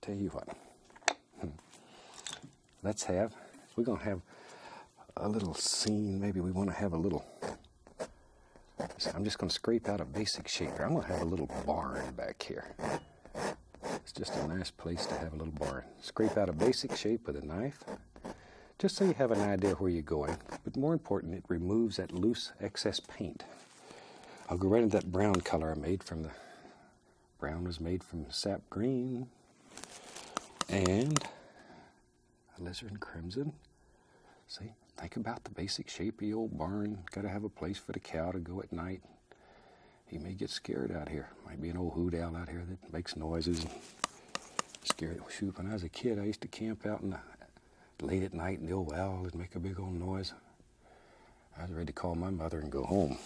Tell you what, hmm. let's have, we're going to have a little scene. Maybe we want to have a little, I'm just going to scrape out a basic shape here. I'm going to have a little barn back here. It's just a nice place to have a little barn. Scrape out a basic shape with a knife, just so you have an idea where you're going. But more important, it removes that loose excess paint. I'll go right into that brown color I made from the Brown was made from sap green. And a lizard alizarin crimson. See, think about the basic shapy old barn. Got to have a place for the cow to go at night. He may get scared out here. Might be an old hoot owl out here that makes noises. and scares Scared. Shoot, when I was a kid, I used to camp out in the, late at night, and the old owl would make a big old noise. I was ready to call my mother and go home.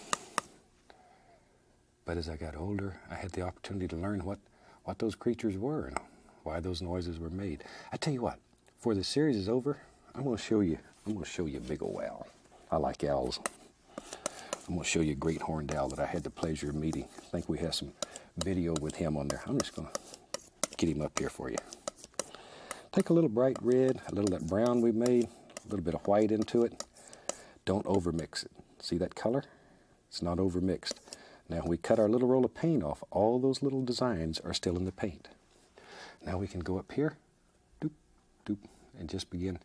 But as I got older, I had the opportunity to learn what, what those creatures were and why those noises were made. I tell you what, before this series is over, I'm going to show you. I'm going to show you a big old owl. I like owls. I'm going to show you a great horned owl that I had the pleasure of meeting. I think we have some video with him on there. I'm just going to get him up here for you. Take a little bright red, a little that brown we made, a little bit of white into it. Don't overmix it. See that color? It's not overmixed. Now we cut our little roll of paint off. All those little designs are still in the paint. Now we can go up here, doop, doop, and just begin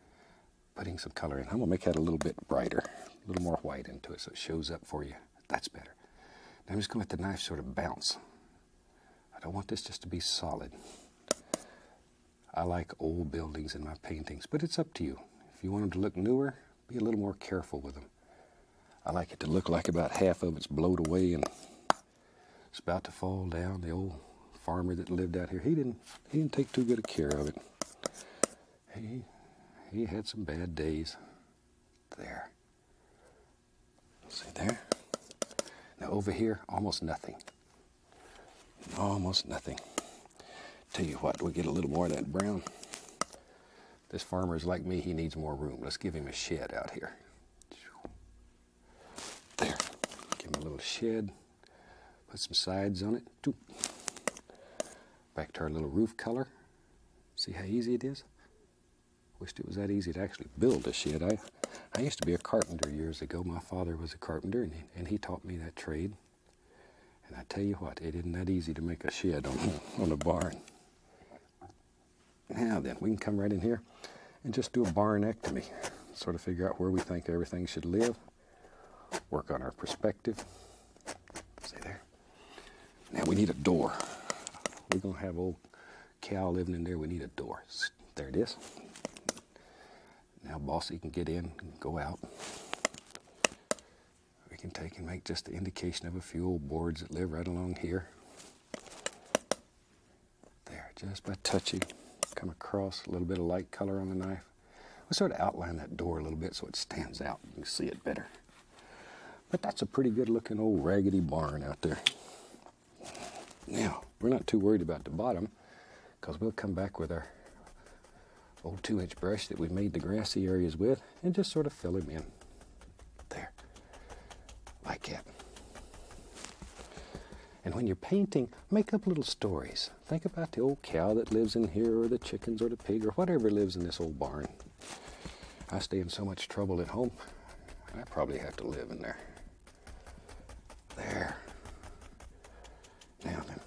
putting some color in. I'm going to make that a little bit brighter, a little more white into it so it shows up for you. That's better. Now I'm just going to let the knife sort of bounce. I don't want this just to be solid. I like old buildings in my paintings, but it's up to you. If you want them to look newer, be a little more careful with them. I like it to look like about half of it's blown away and it's about to fall down. The old farmer that lived out here, he didn't he didn't take too good a care of it. He he had some bad days. There. See there? Now over here, almost nothing. Almost nothing. Tell you what, we will get a little more of that brown. This farmer is like me, he needs more room. Let's give him a shed out here. There. Give him a little shed. Put some sides on it. Back to our little roof color. See how easy it is? Wished it was that easy to actually build a shed. I I used to be a carpenter years ago. My father was a carpenter, and he, taught me that trade. And I tell you what, it isn't that easy to make a shed on, on a barn. Now then, we can come right in here and just do a barnectomy. Sort of figure out where we think everything should live, work on our perspective. See there? Now we need a door. We're going to have old cow living in there. We need a door. There it is. Now Bossy can get in and go out. We can take and make just the indication of a few old boards that live right along here. There, just by touching, come across a little bit of light color on the knife. We sort of outline that door a little bit so it stands out. and You can see it better. But that's a pretty good looking old raggedy barn out there. Now, we're not too worried about the bottom because we'll come back with our old two inch brush that we made the grassy areas with and just sort of fill them in there like that. And when you're painting, make up little stories. Think about the old cow that lives in here, or the chickens, or the pig, or whatever lives in this old barn. I stay in so much trouble at home, I probably have to live in there. There. Now then,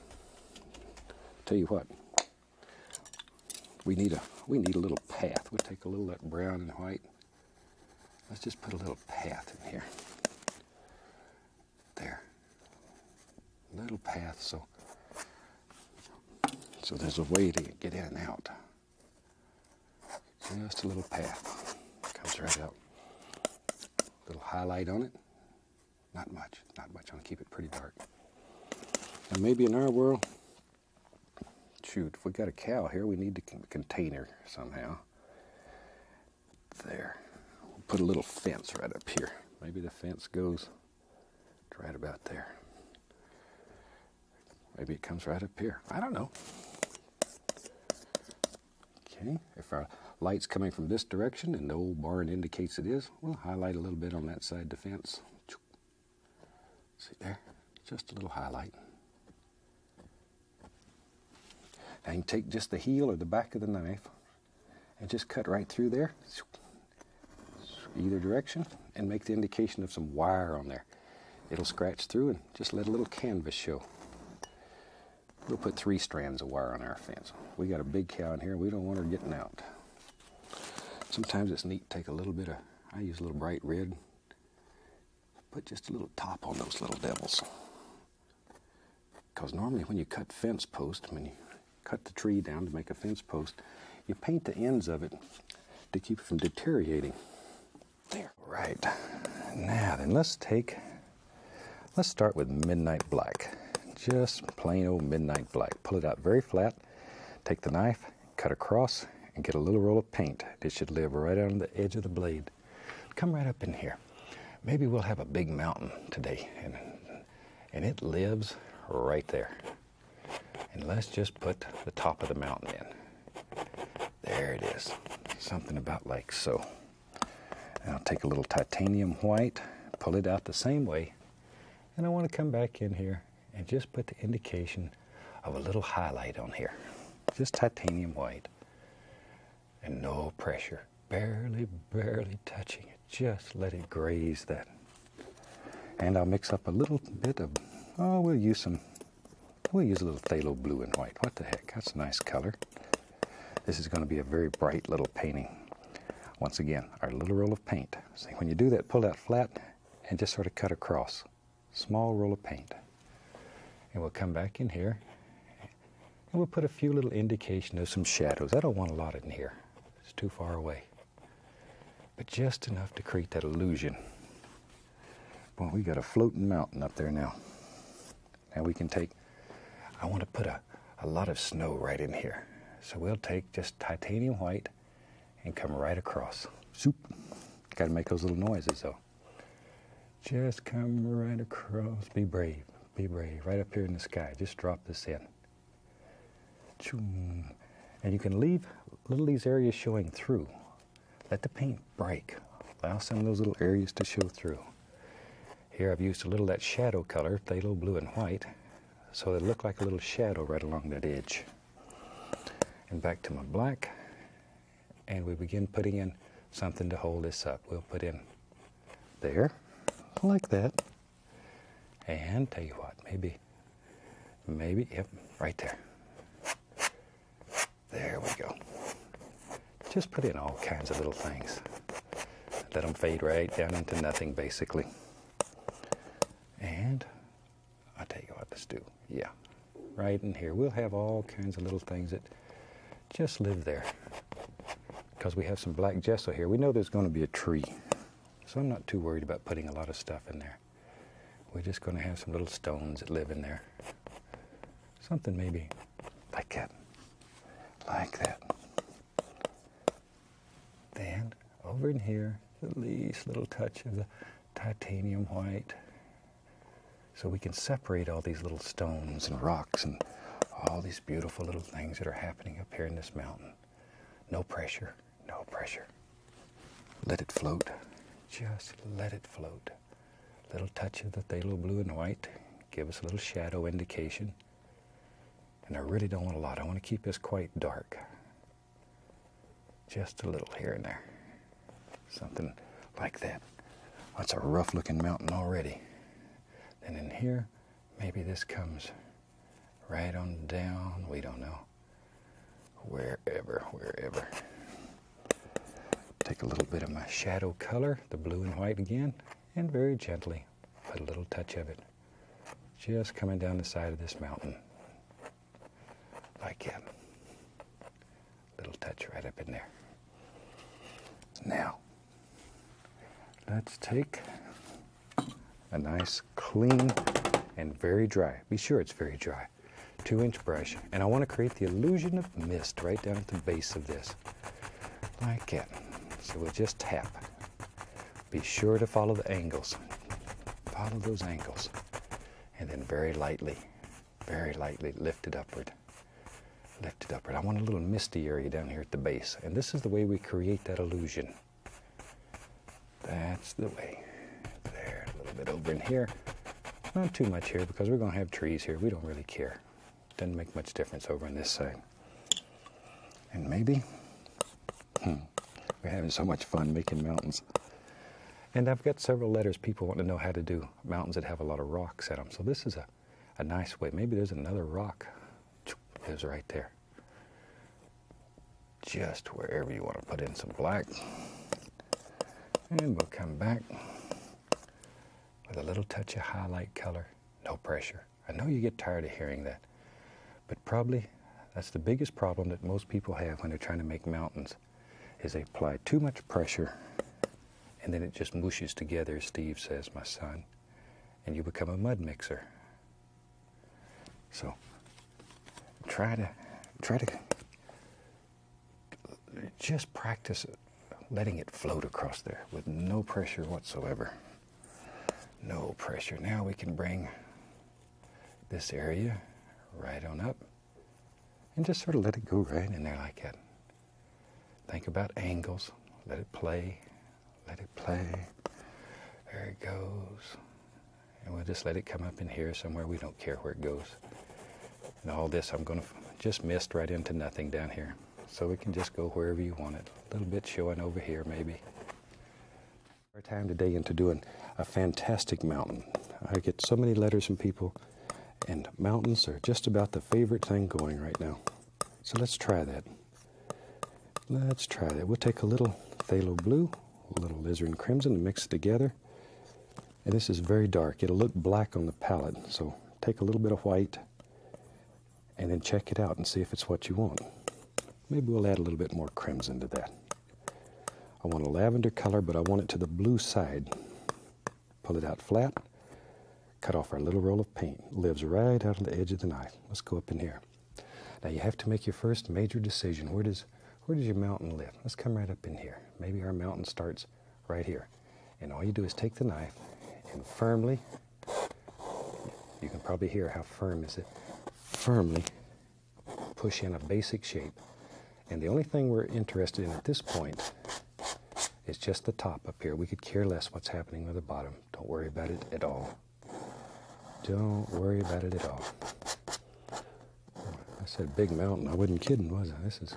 tell you what, we need a we need a little path. We'll take a little that brown and white. Let's just put a little path in here. There. Little path so so there's a way to get in and out. Just a little path. Comes right out. Little highlight on it. Not much, not much. I'll keep it pretty dark. Now maybe in our world, shoot, if we got a cow here, we need to contain her somehow. There. We'll put a little fence right up here. Maybe the fence goes right about there. Maybe it comes right up here. I don't know. Okay, if our light's coming from this direction and the old barn indicates it is, we'll highlight a little bit on that side of the fence. See there? Just a little highlight. Now you take just the heel or the back of the knife and just cut right through there, either direction, and make the indication of some wire on there. It'll scratch through and just let a little canvas show. We'll put three strands of wire on our fence. We got a big cow in here. We don't want her getting out. Sometimes it's neat to take a little bit of, I use a little bright red, put just a little top on those little devils. Because normally when you cut fence posts, when you cut the tree down to make a fence post, you paint the ends of it to keep it from deteriorating. There. Right. Now then, let's take Let's start with midnight black. Just plain old midnight black. Pull it out very flat, take the knife, cut across, and get a little roll of paint. It should live right on the edge of the blade. Come right up in here. Maybe we'll have a big mountain today, and, and it lives right there. And let's just put the top of the mountain in. There it is. Something about like so. I'll take a little titanium white, pull it out the same way, and I want to come back in here and just put the indication of a little highlight on here. Just titanium white and no pressure. Barely, barely touching it. Just let it graze that. And I'll mix up a little bit of, oh, we'll use some, we'll use a little phthalo blue and white. What the heck? That's a nice color. This is going to be a very bright little painting. Once again, our little roll of paint. See, when you do that, pull that flat and just sort of cut across. Small roll of paint. And we'll come back in here and we'll put a few little indication of some shadows. I don't want a lot in here. It's too far away. But just enough to create that illusion. Well, we got a floating mountain up there now. Now we can take, I want to put a, a lot of snow right in here. So we'll take just titanium white and come right across. Soup. Got to make those little noises though. Just come right across. Be brave. Be brave. Right up here in the sky. Just drop this in. Choom. And you can leave little these areas showing through. Let the paint break. Allow some of those little areas to show through. Here I've used a little that shadow color, little blue and white, so they look like a little shadow right along that edge. And back to my black, and we begin putting in something to hold this up. We'll put in there, like that. And tell you what, maybe, maybe, yep, right there. There we go. Just put in all kinds of little things. Let them fade right down into nothing, basically. And I'll tell you what, let's do. Yeah, right in here. We'll have all kinds of little things that just live there. Because we have some black gesso here. We know there's going to be a tree. So I'm not too worried about putting a lot of stuff in there. We're just going to have some little stones that live in there. Something maybe like that, like that. Then over in here, the least little touch of the titanium white. So we can separate all these little stones and rocks and all these beautiful little things that are happening up here in this mountain. No pressure, no pressure. Let it float. Just let it float. Little touch of the thalo blue and white. Give us a little shadow indication. And I really don't want a lot. I want to keep this quite dark. Just a little here and there. Something like that. That's a rough looking mountain already. Then in here, maybe this comes right on down. We don't know. Wherever, wherever. Take a little bit of my shadow color, the blue and white again, and very gently a little touch of it just coming down the side of this mountain like that. Little touch right up in there. Now, let's take a nice clean and very dry, be sure it's very dry, two inch brush. And I want to create the illusion of mist right down at the base of this like it, So we'll just tap. Be sure to follow the angles. Follow those angles. And then very lightly, very lightly lift it upward. Lift it upward. I want a little misty area down here at the base. And this is the way we create that illusion. That's the way. There, a little bit over in here. Not too much here because we're going to have trees here. We don't really care. Doesn't make much difference over on this side. And maybe, hmm, we're having so much fun making mountains. And I've got several letters people want to know how to do mountains that have a lot of rocks in them. So this is a, a nice way. Maybe there's another rock. Is right there. Just wherever you want to put in some black. And we'll come back with a little touch of highlight color. No pressure. I know you get tired of hearing that, but probably that's the biggest problem that most people have when they're trying to make mountains is they apply too much pressure and then it just mushes together, as Steve says, my son, and you become a mud mixer. So try to try to just practice letting it float across there with no pressure whatsoever. No pressure. Now we can bring this area right on up and just sort of let it go right in there like that. Think about angles. Let it play. Let it play. There it goes. And we'll just let it come up in here somewhere. We don't care where it goes. And all this I'm going to just mist right into nothing down here. So we can just go wherever you want it. A little bit showing over here, maybe. Our time today into doing a fantastic mountain. I get so many letters from people, and mountains are just about the favorite thing going right now. So let's try that. Let's try that. We'll take a little phthalo blue, a little lizard and crimson, and mix it together. And this is very dark. It'll look black on the palette. So take a little bit of white and then check it out and see if it's what you want. Maybe we'll add a little bit more crimson to that. I want a lavender color, but I want it to the blue side. Pull it out flat, cut off our little roll of paint. Lives right out on the edge of the knife. Let's go up in here. Now you have to make your first major decision. Where does, where does your mountain live? Let's come right up in here. Maybe our mountain starts right here. And all you do is take the knife and firmly you can probably hear how firm is it. Firmly push in a basic shape. And the only thing we're interested in at this point is just the top up here. We could care less what's happening with the bottom. Don't worry about it at all. Don't worry about it at all. I said big mountain. I wasn't kidding, was I? This is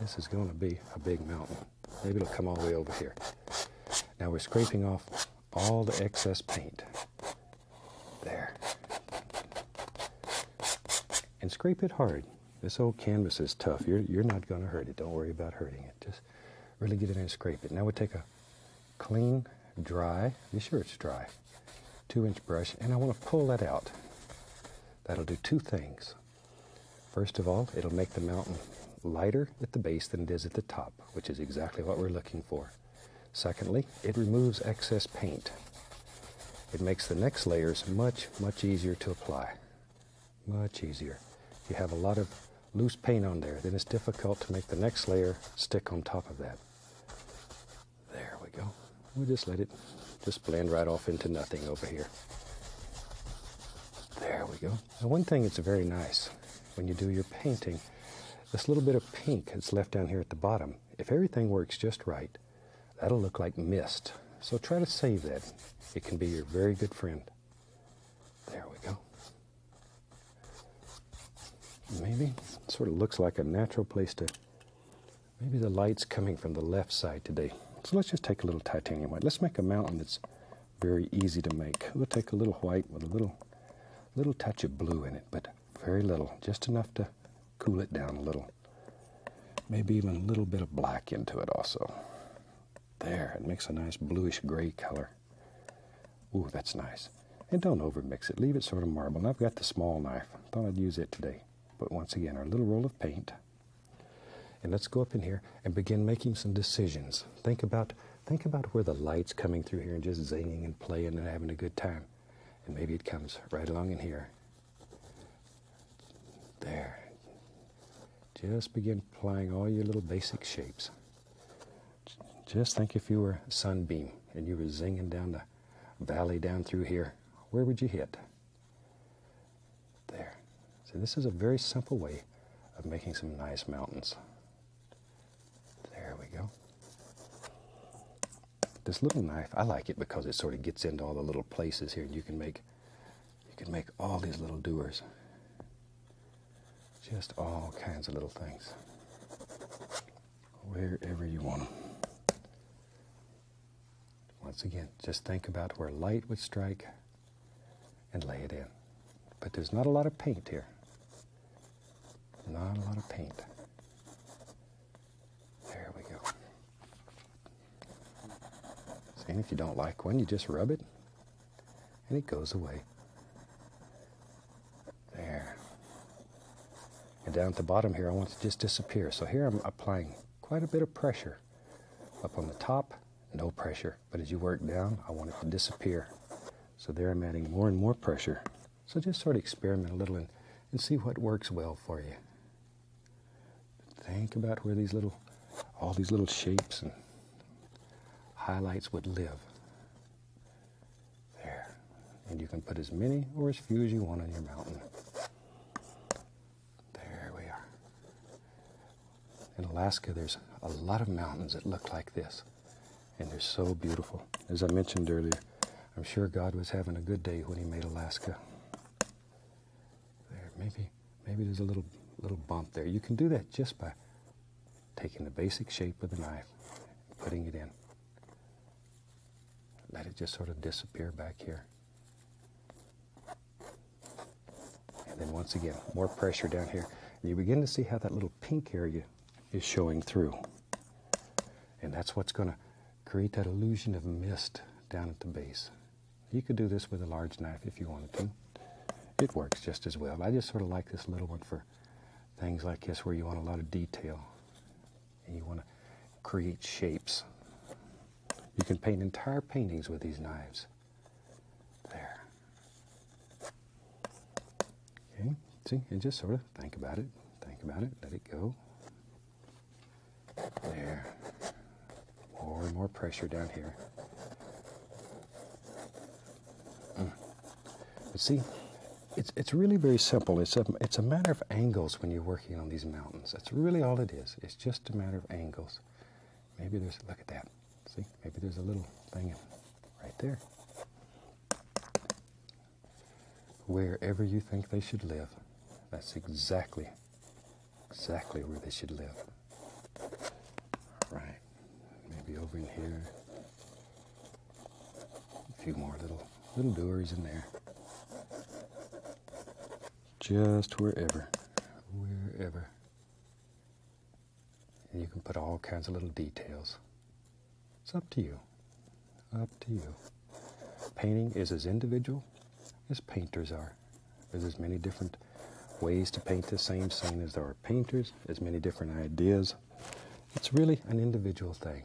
this is going to be a big mountain. Maybe it'll come all the way over here. Now we're scraping off all the excess paint. There. And scrape it hard. This old canvas is tough. You're, not going to hurt it. Don't worry about hurting it. Just really get in and scrape it. Now we take a clean, dry, be sure it's dry, two inch brush, and I want to pull that out. That'll do two things. First of all, it'll make the mountain lighter at the base than it is at the top which is exactly what we're looking for. Secondly, it removes excess paint. It makes the next layers much, much easier to apply. Much easier. If you have a lot of loose paint on there, then it's difficult to make the next layer stick on top of that. There we go. we just let it just blend right off into nothing over here. There we go. Now one thing that's very nice when you do your painting, this little bit of pink that's left down here at the bottom, if everything works just right, that'll look like mist. So try to save that. It can be your very good friend. There we go. Maybe sort of looks like a natural place to, maybe the light's coming from the left side today. So let's just take a little titanium white. Let's make a mountain that's very easy to make. We'll take a little white with a little, little touch of blue in it, but very little, just enough to cool it down a little. Maybe even a little bit of black into it also. There, it makes a nice bluish gray color. Ooh, that's nice. And don't overmix it. Leave it sort of marble. I've got the small knife. Thought I'd use it today. But once again, our little roll of paint. And let's go up in here and begin making some decisions. Think about Think about where the light's coming through here and just zinging and playing and having a good time. And maybe it comes right along in here. There. Just begin applying all your little basic shapes. Just think if you were a sunbeam and you were zinging down the valley down through here, where would you hit? There. So this is a very simple way of making some nice mountains. There we go. This little knife, I like it because it sort of gets into all the little places here, and you can make you can make all these little doers. Just all kinds of little things. Wherever you want them. Once again, just think about where light would strike, and lay it in. But there's not a lot of paint here. Not a lot of paint. There we go. See, if you don't like one, you just rub it and it goes away. There. And down at the bottom here, I want to just disappear. So here I'm applying quite a bit of pressure. Up on the top, no pressure. But as you work down, I want it to disappear. So there I'm adding more and more pressure. So just sort of experiment a little and, and see what works well for you. Think about where these little, all these little shapes and highlights would live. There. And you can put as many or as few as you want on your mountain. There we are. In Alaska, there's a lot of mountains that look like this, and they're so beautiful. As I mentioned earlier, I'm sure God was having a good day when He made Alaska. There, maybe, maybe there's a little little bump there. You can do that just by taking the basic shape of the knife, and putting it in. Let it just sort of disappear back here. And then once again, more pressure down here. And you begin to see how that little pink area is showing through. And that's what's going to create that illusion of mist down at the base. You could do this with a large knife if you wanted to. It works just as well. I just sort of like this little one for things like this where you want a lot of detail and you want to create shapes. You can paint entire paintings with these knives. There. Okay, see, and just sort of think about it, think about it, let it go. There. More and more pressure down here. Mm. But see, it's, it's really very simple. It's a, it's a matter of angles when you're working on these mountains. That's really all it is. It's just a matter of angles. Maybe there's, look at that. See, maybe there's a little thing right there. Wherever you think they should live, that's exactly, exactly where they should live. Right, maybe over in here. A few more little little doors in there. Just wherever, wherever and you can put all kinds of little details. It's up to you. Up to you. Painting is as individual as painters are. There's as many different ways to paint the same scene as there are painters, as many different ideas. It's really an individual thing.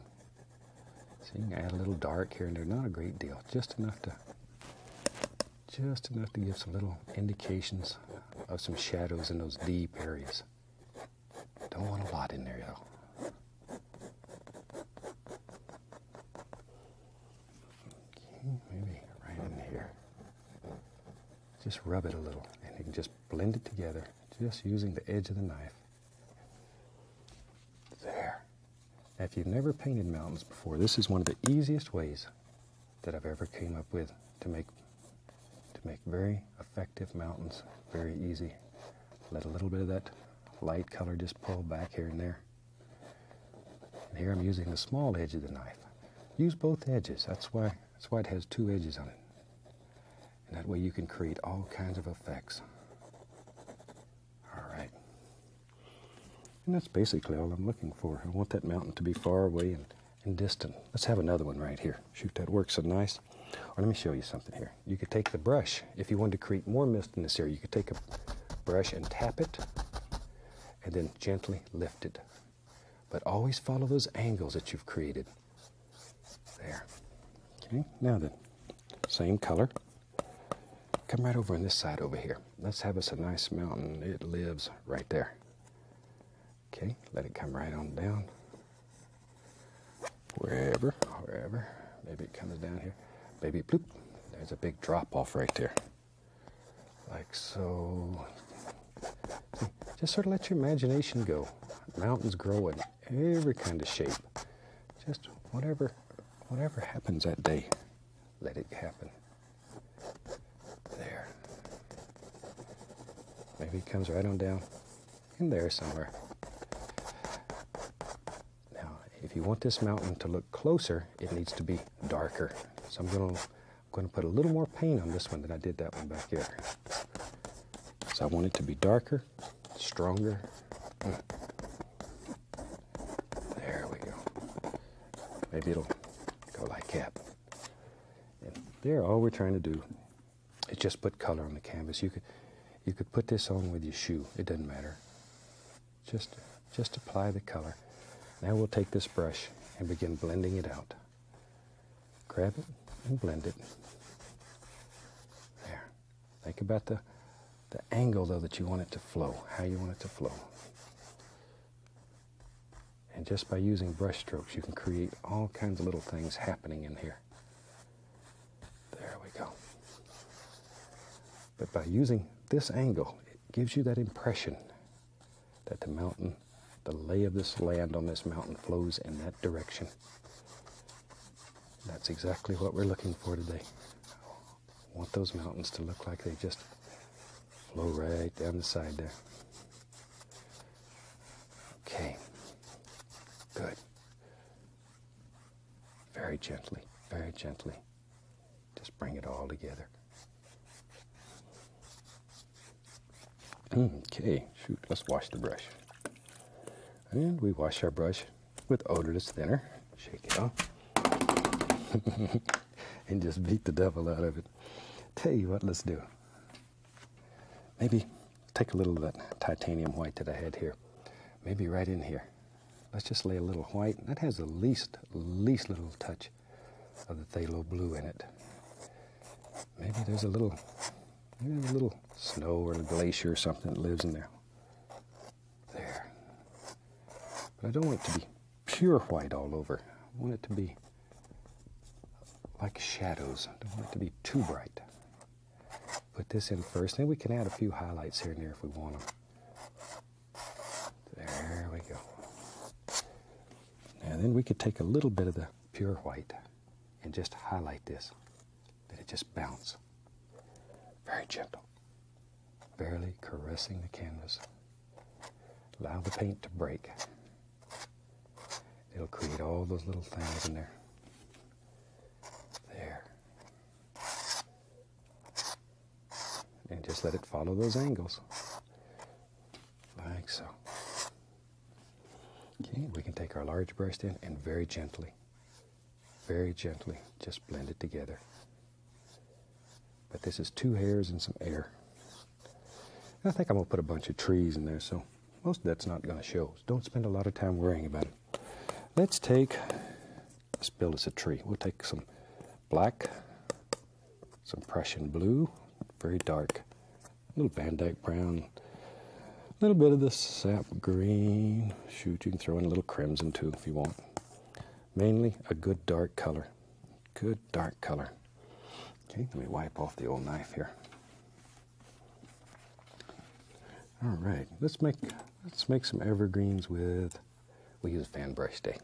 So you can add a little dark here and there, not a great deal, just enough to just enough to give some little indications of some shadows in those deep areas. Don't want a lot in there, though. Okay, maybe right in here. Just rub it a little, and you can just blend it together, just using the edge of the knife. There. if you've never painted mountains before, this is one of the easiest ways that I've ever came up with to make to make very effective mountains very easy. Let a little bit of that light color just pull back here and there. here I'm using the small edge of the knife. Use both edges. That's why that's why it has two edges on it. And that way you can create all kinds of effects. All right. And that's basically all I'm looking for. I want that mountain to be far away and and distant. Let's have another one right here. Shoot, that works so nice. Or let me show you something here. You could take the brush. If you wanted to create more mist in this area, you could take a brush and tap it and then gently lift it. But always follow those angles that you've created. There. Okay, now then, same color. Come right over on this side over here. Let's have us a nice mountain. It lives right there. Okay, let it come right on down. Wherever, wherever. Maybe it comes down here. Maybe bloop. There's a big drop off right there. Like so. Just sort of let your imagination go. Mountains grow in every kind of shape. Just whatever whatever happens that day, let it happen. There. Maybe it comes right on down in there somewhere. Now, if you want this mountain to look closer, it needs to be darker. So I'm going to put a little more paint on this one than I did that one back here. So I want it to be darker, stronger. There we go. Maybe it'll go like that. And there, all we're trying to do it just put color on the canvas. You could, you could put this on with your shoe. It doesn't matter. Just, just apply the color. Now we'll take this brush and begin blending it out. Grab it and blend it. There. Think about the, the angle, though, that you want it to flow, how you want it to flow. And just by using brush strokes, you can create all kinds of little things happening in here. There we go. But by using this angle, it gives you that impression that the mountain, the lay of this land on this mountain flows in that direction. That's exactly what we're looking for today. I want those mountains to look like they just flow right down the side there. Okay. Good. Very gently, very gently. Just bring it all together. Okay, shoot, let's wash the brush. And we wash our brush with odorless thinner. Shake it off. and just beat the devil out of it. Tell you what, let's do. Maybe take a little of that titanium white that I had here. Maybe right in here. Let's just lay a little white. That has the least, least little touch of the thalo blue in it. Maybe there's a little, maybe there's a little snow or a glacier or something that lives in there. There. But I don't want it to be pure white all over. I want it to be like shadows. I don't want it to be too bright. Put this in first, then we can add a few highlights here and there if we want them. There we go. And then we could take a little bit of the pure white and just highlight this. Let it just bounce. Very gentle. Barely caressing the canvas. Allow the paint to break. It'll create all those little things in there. There. And just let it follow those angles. Like so. Okay, we can take our large brush in and very gently, very gently, just blend it together. But this is two hairs and some air. I think I'm going to put a bunch of trees in there, so most of that's not going to show. don't spend a lot of time worrying about it. Let's take, let build us a tree. We'll take some black, some Prussian blue, very dark, a little Van Dyke brown, a little bit of the sap green. Shoot, you can throw in a little crimson too if you want. Mainly a good dark color. Good dark color. Okay, let me wipe off the old knife here. All right, let's make let's make some evergreens with. We use fan brush stick.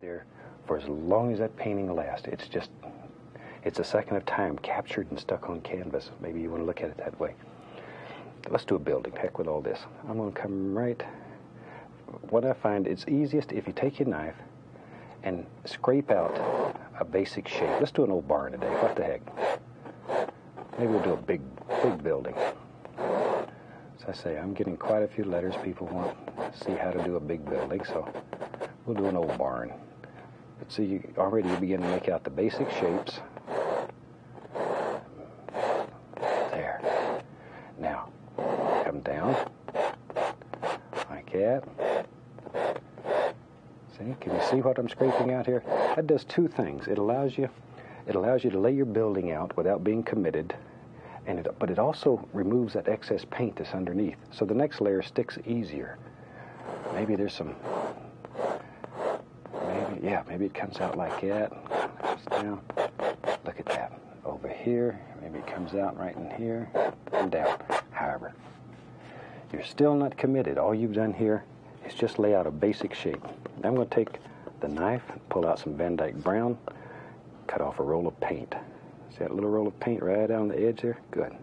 There for as long as that painting lasts. It's just it's a second of time captured and stuck on canvas. Maybe you want to look at it that way. Let's do a building. Heck with all this. I'm going to come right. What I find it's easiest if you take your knife and scrape out a basic shape. Let's do an old barn today. What the heck? Maybe we'll do a big, big building. As I say, I'm getting quite a few letters. People want to see how to do a big building, so we'll do an old barn. But see, you already begin to make out the basic shapes. There. Now, come down like that. See, can you see what I'm scraping out here? That does two things. It allows you, it allows you to lay your building out without being committed, and it, but it also removes that excess paint that's underneath. So the next layer sticks easier. Maybe there's some, maybe, yeah, maybe it comes out like that. Down. Look at that. Over here, maybe it comes out right in here and down, however. You're still not committed. All you've done here is just lay out a basic shape. I'm going to take the knife, pull out some Van Dyke Brown, cut off a roll of paint. See that little roll of paint right on the edge there? Good.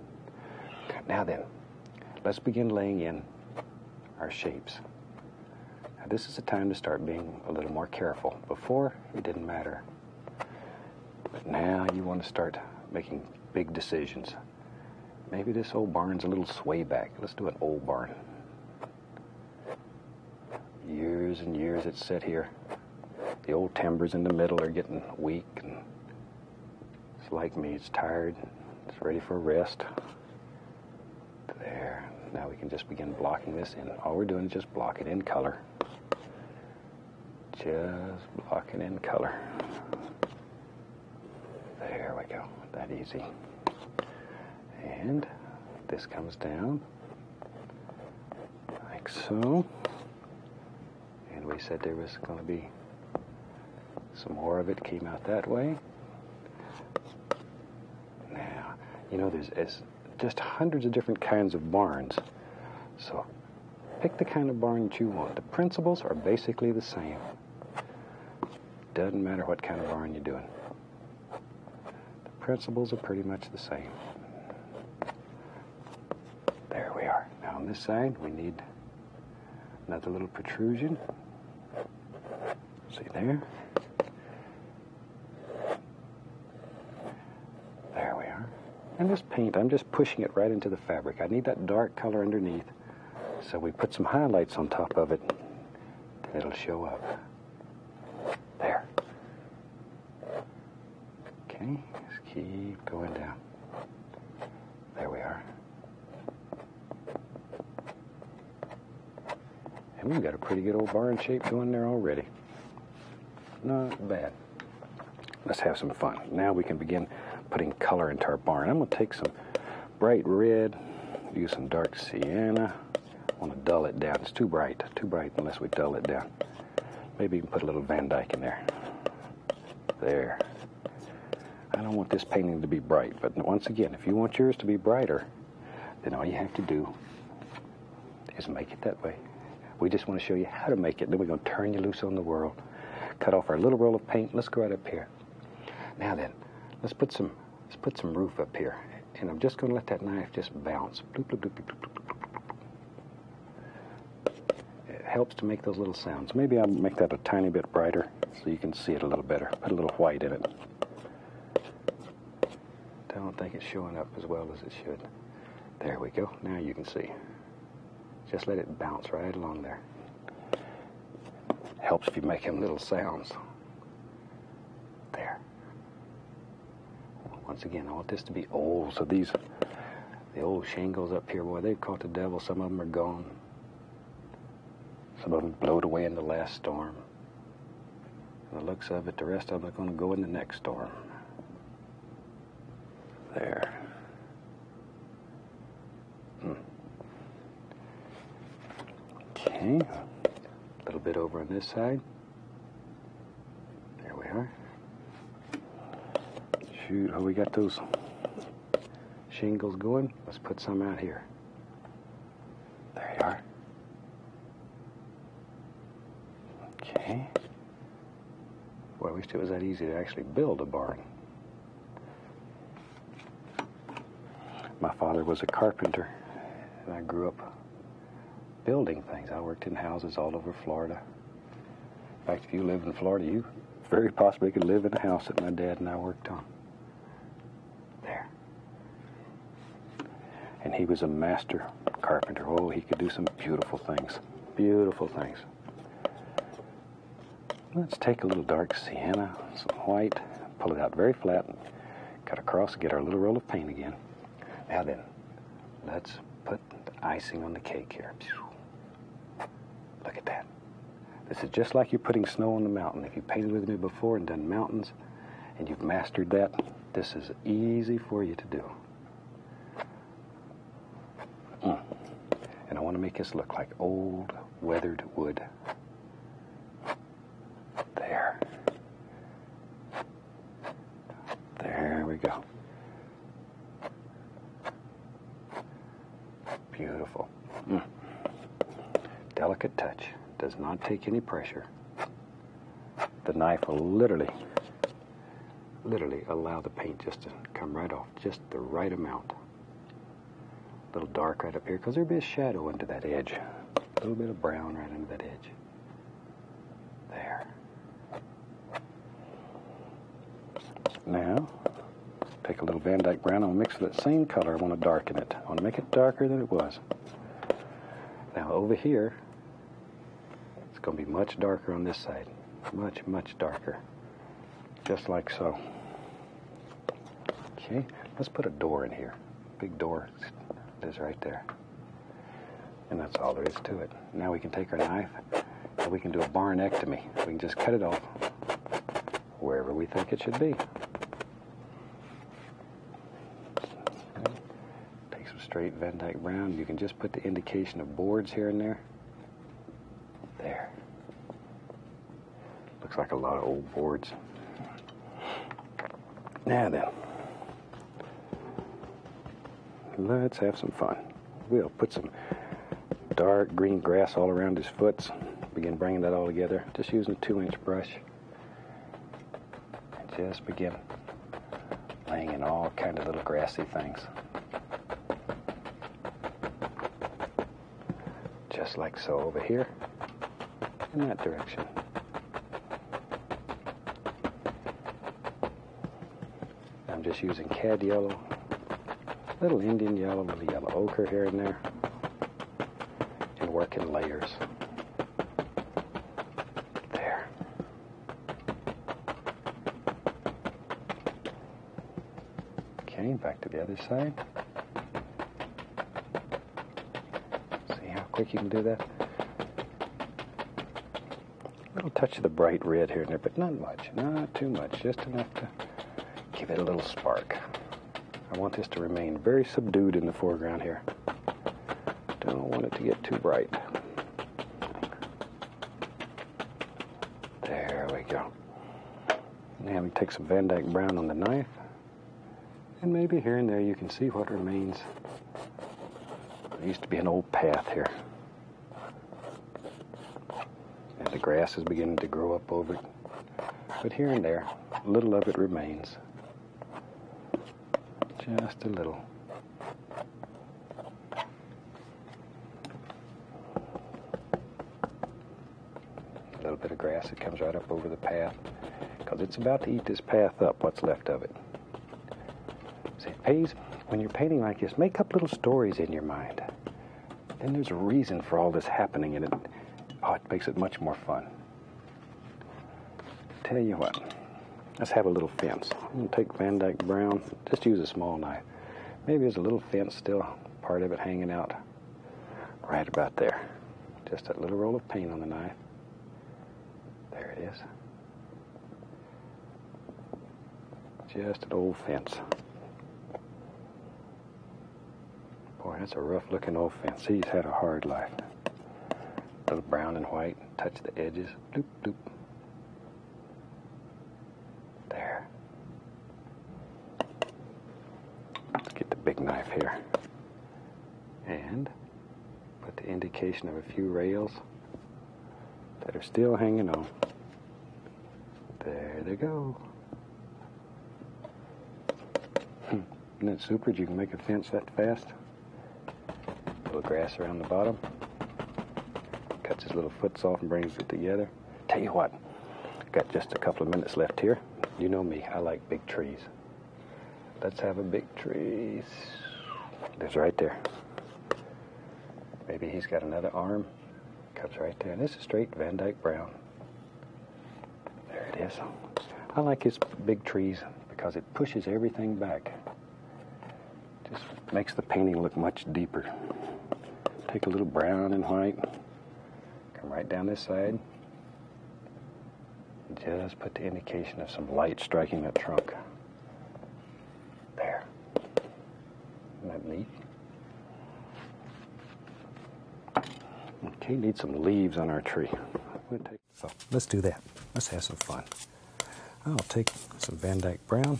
Now then, let's begin laying in our shapes. Now this is the time to start being a little more careful. Before, it didn't matter. But now you want to start making big decisions. Maybe this old barn's a little swayback. Let's do an old barn. Years and years it's set here. The old timbers in the middle are getting weak and it's like me, it's tired. It's ready for rest. There. Now we can just begin blocking this in. All we're doing is just block it in color. Just blocking in color. There we go, that easy. And this comes down like so. And we said there was going to be some more of it came out that way. Now, you know, there's just hundreds of different kinds of barns. So Pick the kind of barn that you want. The principles are basically the same. Doesn't matter what kind of barn you're doing. The principles are pretty much the same. There we are. Now on this side, we need another little protrusion. See there? There we are. And this paint, I'm just pushing it right into the fabric. I need that dark color underneath so we put some highlights on top of it. It'll show up. There. Okay, just keep going down. There we are. And we've got a pretty good old barn shape going there already. Not bad. Let's have some fun. Now we can begin putting color into our barn. I'm going to take some bright red, use some dark sienna. I want to dull it down. It's too bright, too bright unless we dull it down. Maybe even put a little Van Dyke in there. There. I don't want this painting to be bright, but once again, if you want yours to be brighter, then all you have to do is make it that way. We just want to show you how to make it. Then we're going to turn you loose on the world Cut off our little roll of paint. Let's go right up here. Now then, let's put some let's put some roof up here. And I'm just going to let that knife just bounce. it helps to make those little sounds. Maybe I'll make that a tiny bit brighter so you can see it a little better. Put a little white in it. I don't think it's showing up as well as it should. There we go. Now you can see. Just let it bounce right along there. Helps if you make him little sounds. There. Once again, I want this to be old, so these, the old shingles up here, boy, they've caught the devil. Some of them are gone. Some of them blowed away in the last storm. the looks of it, the rest of them are going to go in the next storm. There. Okay, a little bit over on this side. There we are. Shoot, oh, we got those shingles going. Let's put some out here. There you are. Okay. Boy, I wished it was that easy to actually build a barn. My father was a carpenter, and I grew up building things. I worked in houses all over Florida. In fact, if you live in Florida, you very possibly could live in a house that my dad and I worked on. There. And he was a master carpenter. Oh, he could do some beautiful things. Beautiful things. Let's take a little dark sienna, some white, pull it out very flat, cut across, get our little roll of paint again. Now then, let's put the icing on the cake here. Look at that. This is just like you're putting snow on the mountain. If you painted with me before and done mountains and you've mastered that, this is easy for you to do. Mm. And I want to make this look like old weathered wood. There. There we go. Beautiful. Mm. Delicate touch. Does not take any pressure. The knife will literally, literally allow the paint just to come right off, just the right amount. A little dark right up here because there'll be a shadow under that edge. A little bit of brown right under that edge. There. Now, take a little Van Dyke brown and I'll mix that same color. I want to darken it. I want to make it darker than it was. Now over here, it's going to be much darker on this side. Much, much darker. Just like so. Okay, let's put a door in here. Big door is right there. And that's all there is to it. Now we can take our knife and we can do a barnectomy. We can just cut it off wherever we think it should be. Take some straight Van Dyke Brown. You can just put the indication of boards here and there. There. Looks like a lot of old boards. Now then, let's have some fun. We'll put some dark green grass all around his foots. Begin bringing that all together. Just using a two inch brush. And just begin laying in all kind of little grassy things. Just like so over here, in that direction. I'm just using cad yellow, little Indian yellow, little yellow ochre here and there, and work in layers. There. Okay, back to the other side. See how quick you can do that? A little touch of the bright red here and there, but not much, not too much, just enough to give it a little spark. I want this to remain very subdued in the foreground here. Don't want it to get too bright. There we go. Now we take some Van Dyke Brown on the knife. And maybe here and there you can see what remains. There used to be an old path here. And the grass is beginning to grow up over it. But here and there, a little of it remains. Just a little. A little bit of grass that comes right up over the path because it's about to eat this path up, what's left of it. See, it pays when you're painting like this, make up little stories in your mind. Then there's a reason for all this happening, and it, oh, it makes it much more fun. Tell you what, let's have a little fence. I'm going to take Van Dyke Brown, just use a small knife. Maybe there's a little fence still, part of it hanging out. Right about there. Just that little roll of paint on the knife. There it is. Just an old fence. Boy, that's a rough looking old fence. He's had a hard life. Little brown and white, touch the edges. Doop, doop. There. Let's get the big knife here. And put the indication of a few rails that are still hanging on. There they go. Hmm, isn't that super? You can make a fence that fast. little grass around the bottom. Cuts his little foots off and brings it together. Tell you what, got just a couple of minutes left here. You know me, I like big trees. Let's have a big tree. There's right there. Maybe he's got another arm. Comes right there. And this is straight Van Dyke Brown. There it is. I like his big trees because it pushes everything back. Just makes the painting look much deeper. Take a little brown and white. Come right down this side. Just put the indication of some light striking that trunk. There. Isn't that neat? Okay, need some leaves on our tree. So let's do that. Let's have some fun. I'll take some Van Dyke Brown.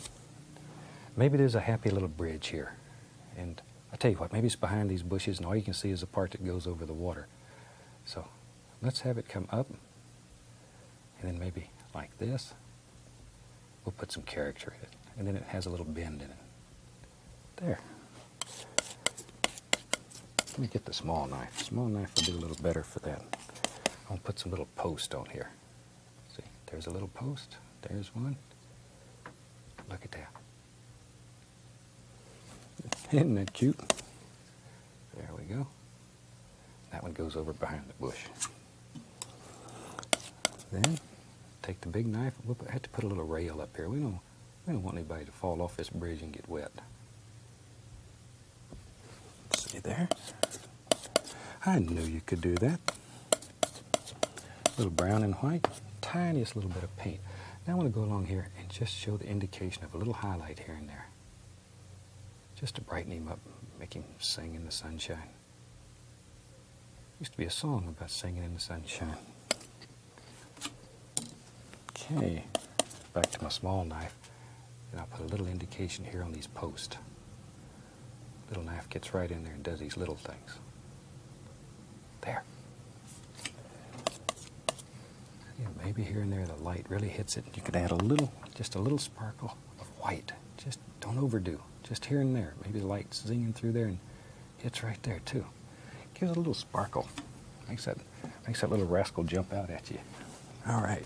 Maybe there's a happy little bridge here. And I tell you what, maybe it's behind these bushes, and all you can see is the part that goes over the water. So let's have it come up, and then maybe like this. We'll put some character in it, and then it has a little bend in it. There. Let me get the small knife. small knife will do a little better for that. I'll put some little post on here. See, there's a little post. There's one. Look at that. Isn't that cute? There we go. That one goes over behind the bush. Then take the big knife. I had to put a little rail up here. We don't, we don't want anybody to fall off this bridge and get wet. See there? I knew you could do that little brown and white, tiniest little bit of paint. Now I'm going to go along here and just show the indication of a little highlight here and there. Just to brighten him up, make him sing in the sunshine. Used to be a song about singing in the sunshine. Okay, back to my small knife. And I'll put a little indication here on these posts. Little knife gets right in there and does these little things. There. maybe here and there the light really hits it. You could add a little, just a little sparkle of white. Just don't overdo. Just here and there. Maybe the light's zinging through there and hits right there too. Gives a little sparkle. Makes that, makes that little rascal jump out at you. All right.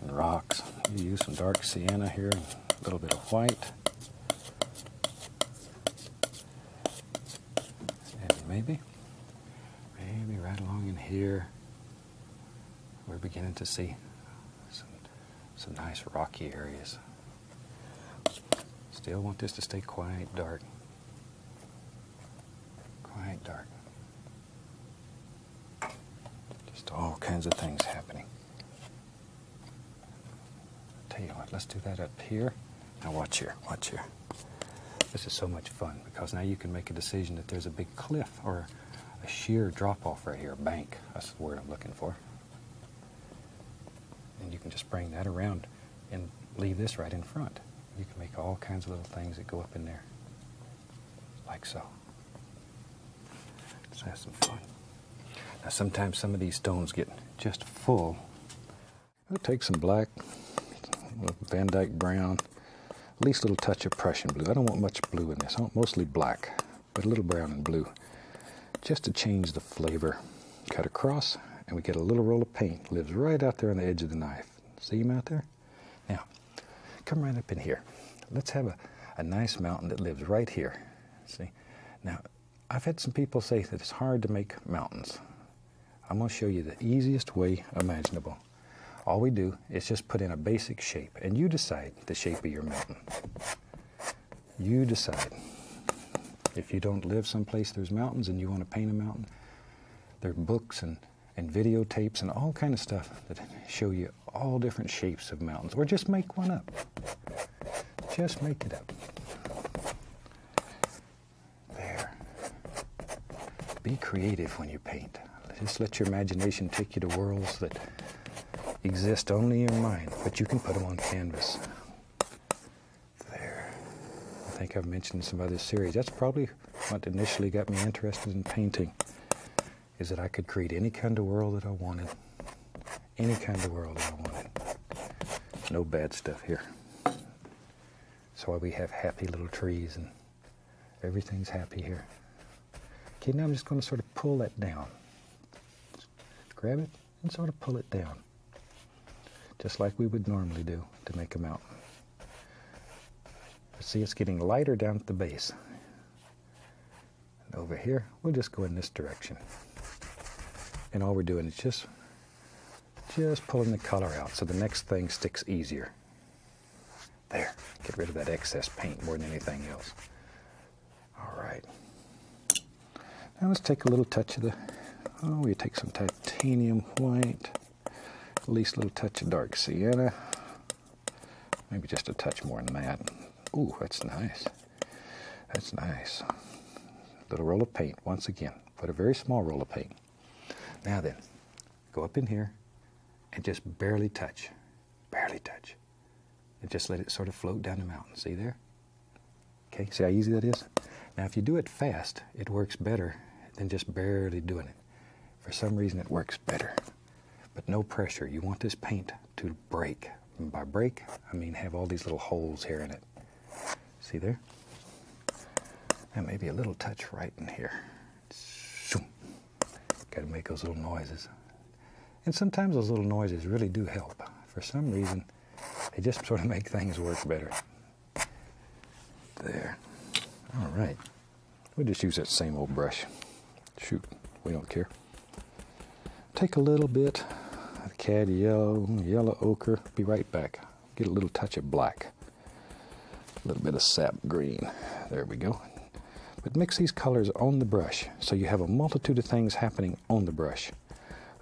And rocks. You use some dark sienna here, a little bit of white maybe, maybe right along in here, we're beginning to see some, some nice rocky areas. Still want this to stay quite dark. Quite dark. Just all kinds of things happening. Tell you what, let's do that up here. Now watch here, watch here. This is so much fun because now you can make a decision that there's a big cliff or a sheer drop-off right here, a bank. That's the word I'm looking for. And you can just bring that around and leave this right in front. You can make all kinds of little things that go up in there, like so. Let's have some fun. Now sometimes some of these stones get just full We'll take some black, Van Dyke brown, at least a little touch of Prussian blue. I don't want much blue in this. mostly black, but a little brown and blue, just to change the flavor. Cut across, and we get a little roll of paint. Lives right out there on the edge of the knife. See him out there? Now, come right up in here. Let's have a nice mountain that lives right here. See? Now, I've had some people say that it's hard to make mountains. I'm going to show you the easiest way imaginable. All we do is just put in a basic shape, and you decide the shape of your mountain. You decide. If you don't live someplace there's mountains and you want to paint a mountain, there are books and, and videotapes and all kind of stuff that show you all different shapes of mountains, or just make one up. Just make it up. There. Be creative when you paint. Just let your imagination take you to worlds that exist only in your mind, but you can put them on canvas. There. I think I've mentioned some other series. That's probably what initially got me interested in painting, is that I could create any kind of world that I wanted any kind of world I want. No bad stuff here. That's why we have happy little trees and everything's happy here. Okay, now I'm just going to sort of pull that down. grab it and sort of pull it down. Just like we would normally do to make a mountain. See, it's getting lighter down at the base. And over here, we'll just go in this direction. And all we're doing is just just pulling the color out so the next thing sticks easier. There, get rid of that excess paint more than anything else. All right. Now let's take a little touch of the, oh, we take some titanium white, at least a little touch of dark sienna, maybe just a touch more than that. Ooh, that's nice. That's nice. Little roll of paint once again. Put a very small roll of paint. Now then, go up in here and just barely touch, barely touch. And just let it sort of float down the mountain. See there? Okay, see how easy that is? Now, if you do it fast, it works better than just barely doing it. For some reason, it works better. But no pressure. You want this paint to break. by break, I mean have all these little holes here in it. See there? And maybe a little touch right in here. Got to make those little noises. And sometimes those little noises really do help. For some reason, they just sort of make things work better. There. All right. We'll just use that same old brush. Shoot, we don't care. Take a little bit of cad yellow, yellow ochre. Be right back get a little touch of black, a little bit of sap green. There we go. But mix these colors on the brush so you have a multitude of things happening on the brush.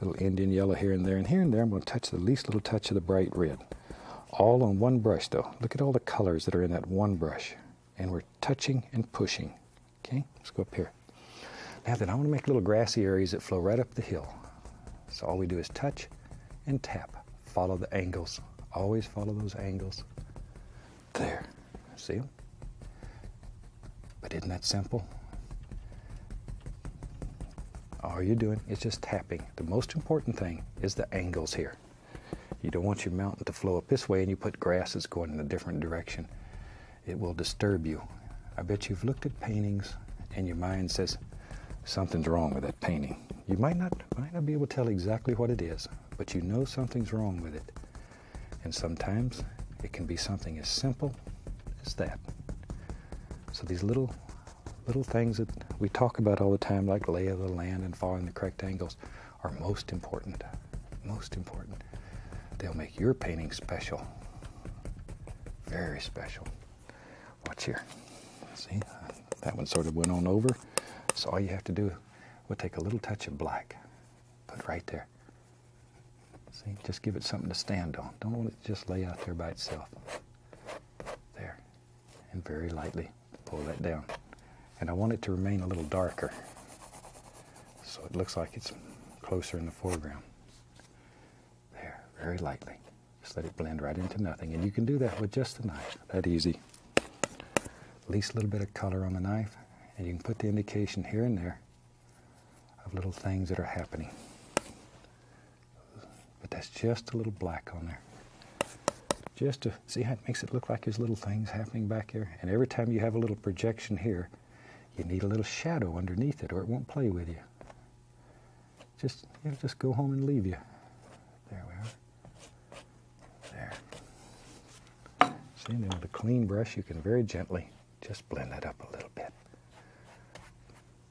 Little Indian yellow here and there, and here and there, I'm going to touch the least little touch of the bright red. All on one brush, though. Look at all the colors that are in that one brush. And we're touching and pushing. Okay, let's go up here. Now then, I want to make little grassy areas that flow right up the hill. So all we do is touch and tap. Follow the angles. Always follow those angles. There. See them? But isn't that simple? All you're doing is just tapping. The most important thing is the angles here. You don't want your mountain to flow up this way and you put grass that's going in a different direction. It will disturb you. I bet you've looked at paintings and your mind says, something's wrong with that painting. You might not, might not be able to tell exactly what it is, but you know something's wrong with it. And sometimes it can be something as simple as that. So these little little things that we talk about all the time, like lay of the land and following the correct angles, are most important. Most important. They'll make your painting special. Very special. Watch here. See, uh, that one sort of went on over. So all you have to do will take a little touch of black. Put right there. See, just give it something to stand on. Don't let it just lay out there by itself. There. And very lightly pull that down. And I want it to remain a little darker. So it looks like it's closer in the foreground. There, very lightly. Just let it blend right into nothing. And you can do that with just a knife. That easy. Least a little bit of color on the knife, and you can put the indication here and there of little things that are happening. But that's just a little black on there. Just to see how it makes it look like there's little things happening back here. And every time you have a little projection here, you need a little shadow underneath it or it won't play with you just just go home and leave you. There we are. There. See, and with a clean brush, you can very gently just blend that up a little bit.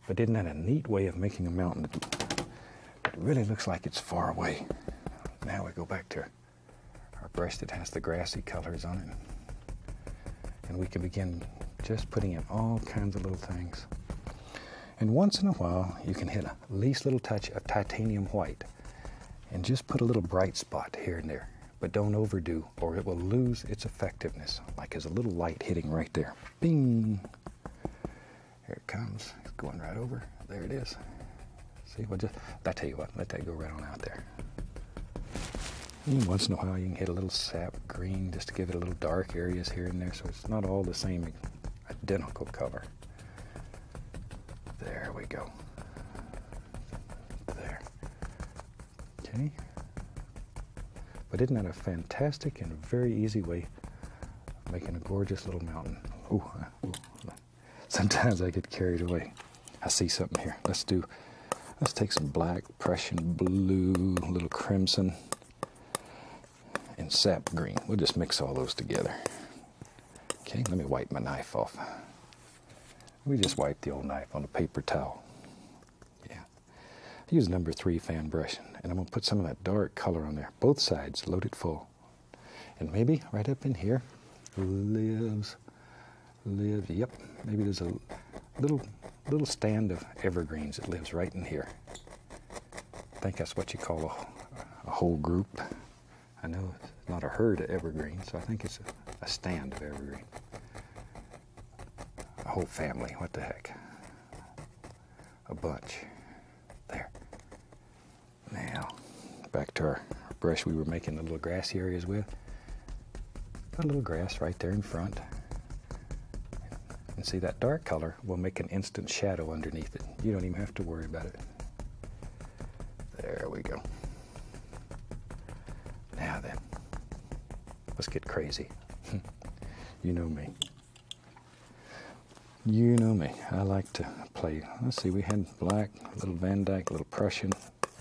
But isn't that a neat way of making a mountain? It really looks like it's far away. Now we go back to our brush that has the grassy colors on it. And we can begin just putting in all kinds of little things. And once in a while, you can hit a least little touch of titanium white and just put a little bright spot here and there. But don't overdo, or it will lose its effectiveness, like there's a little light hitting right there. Bing! Here it comes. It's going right over. There it is. See, well, just, I tell you what, let that go right on out there. And once in a while, you can hit a little sap green just to give it a little dark areas here and there so it's not all the same identical color. There we go. There. Okay. But isn't that a fantastic and very easy way making a gorgeous little mountain? Ooh, sometimes I get carried away. I see something here. Let's do, let's take some black, Prussian blue, little crimson and sap green. We'll just mix all those together. Okay, let me wipe my knife off. We just wipe the old knife on a paper towel. Yeah. I use number three fan brush, and I'm gonna put some of that dark color on there. Both sides, load it full. And maybe right up in here lives, lives, yep, maybe there's a little little stand of evergreens that lives right in here. I think that's what you call a, whole group. I know it's not a herd of evergreens, so I think it's a, stand of evergreens. A whole family, what the heck? A bunch. There. Now, back to our brush we were making the little grassy areas with. Got a little grass right there in front. And see that dark color will make an instant shadow underneath it. You don't even have to worry about it. There we go. Now then, let's get crazy. you know me. You know me. I like to play. Let's see, we had black, a little Van Dyke, a little Prussian.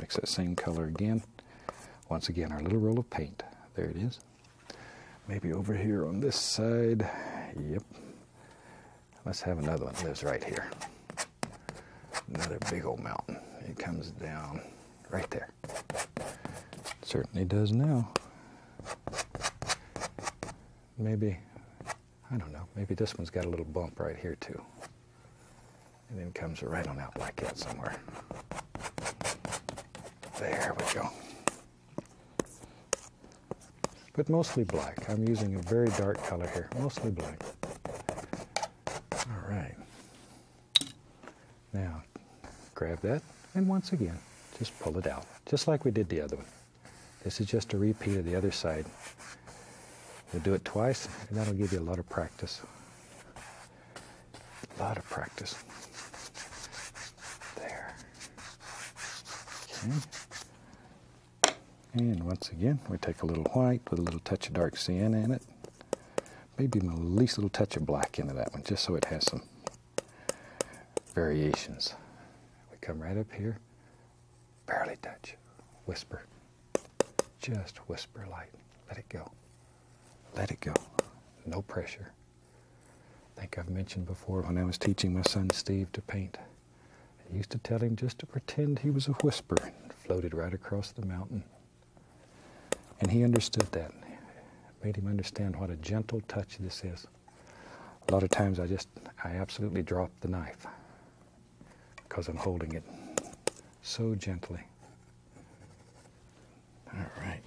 Mix that same color again. Once again, our little roll of paint. There it is. Maybe over here on this side. Yep. Let's have another one. It lives right here. Another big old mountain. It comes down right there. certainly does now. Maybe, I don't know, maybe this one's got a little bump right here too. And then comes right on out like that somewhere. There we go but mostly black. I'm using a very dark color here, mostly black. All right. Now, grab that, and once again, just pull it out, just like we did the other one. This is just a repeat of the other side. We'll do it twice, and that'll give you a lot of practice. A lot of practice. There. And once again, we take a little white with a little touch of dark sienna in it. Maybe my least little touch of black into that one, just so it has some variations. We come right up here, barely touch, whisper. Just whisper light. Let it go. Let it go. No pressure. I think I've mentioned before when I was teaching my son Steve to paint. I used to tell him just to pretend he was a whisper and floated right across the mountain. And he understood that. made him understand what a gentle touch this is. A lot of times I just, I absolutely drop the knife because I'm holding it so gently. All right.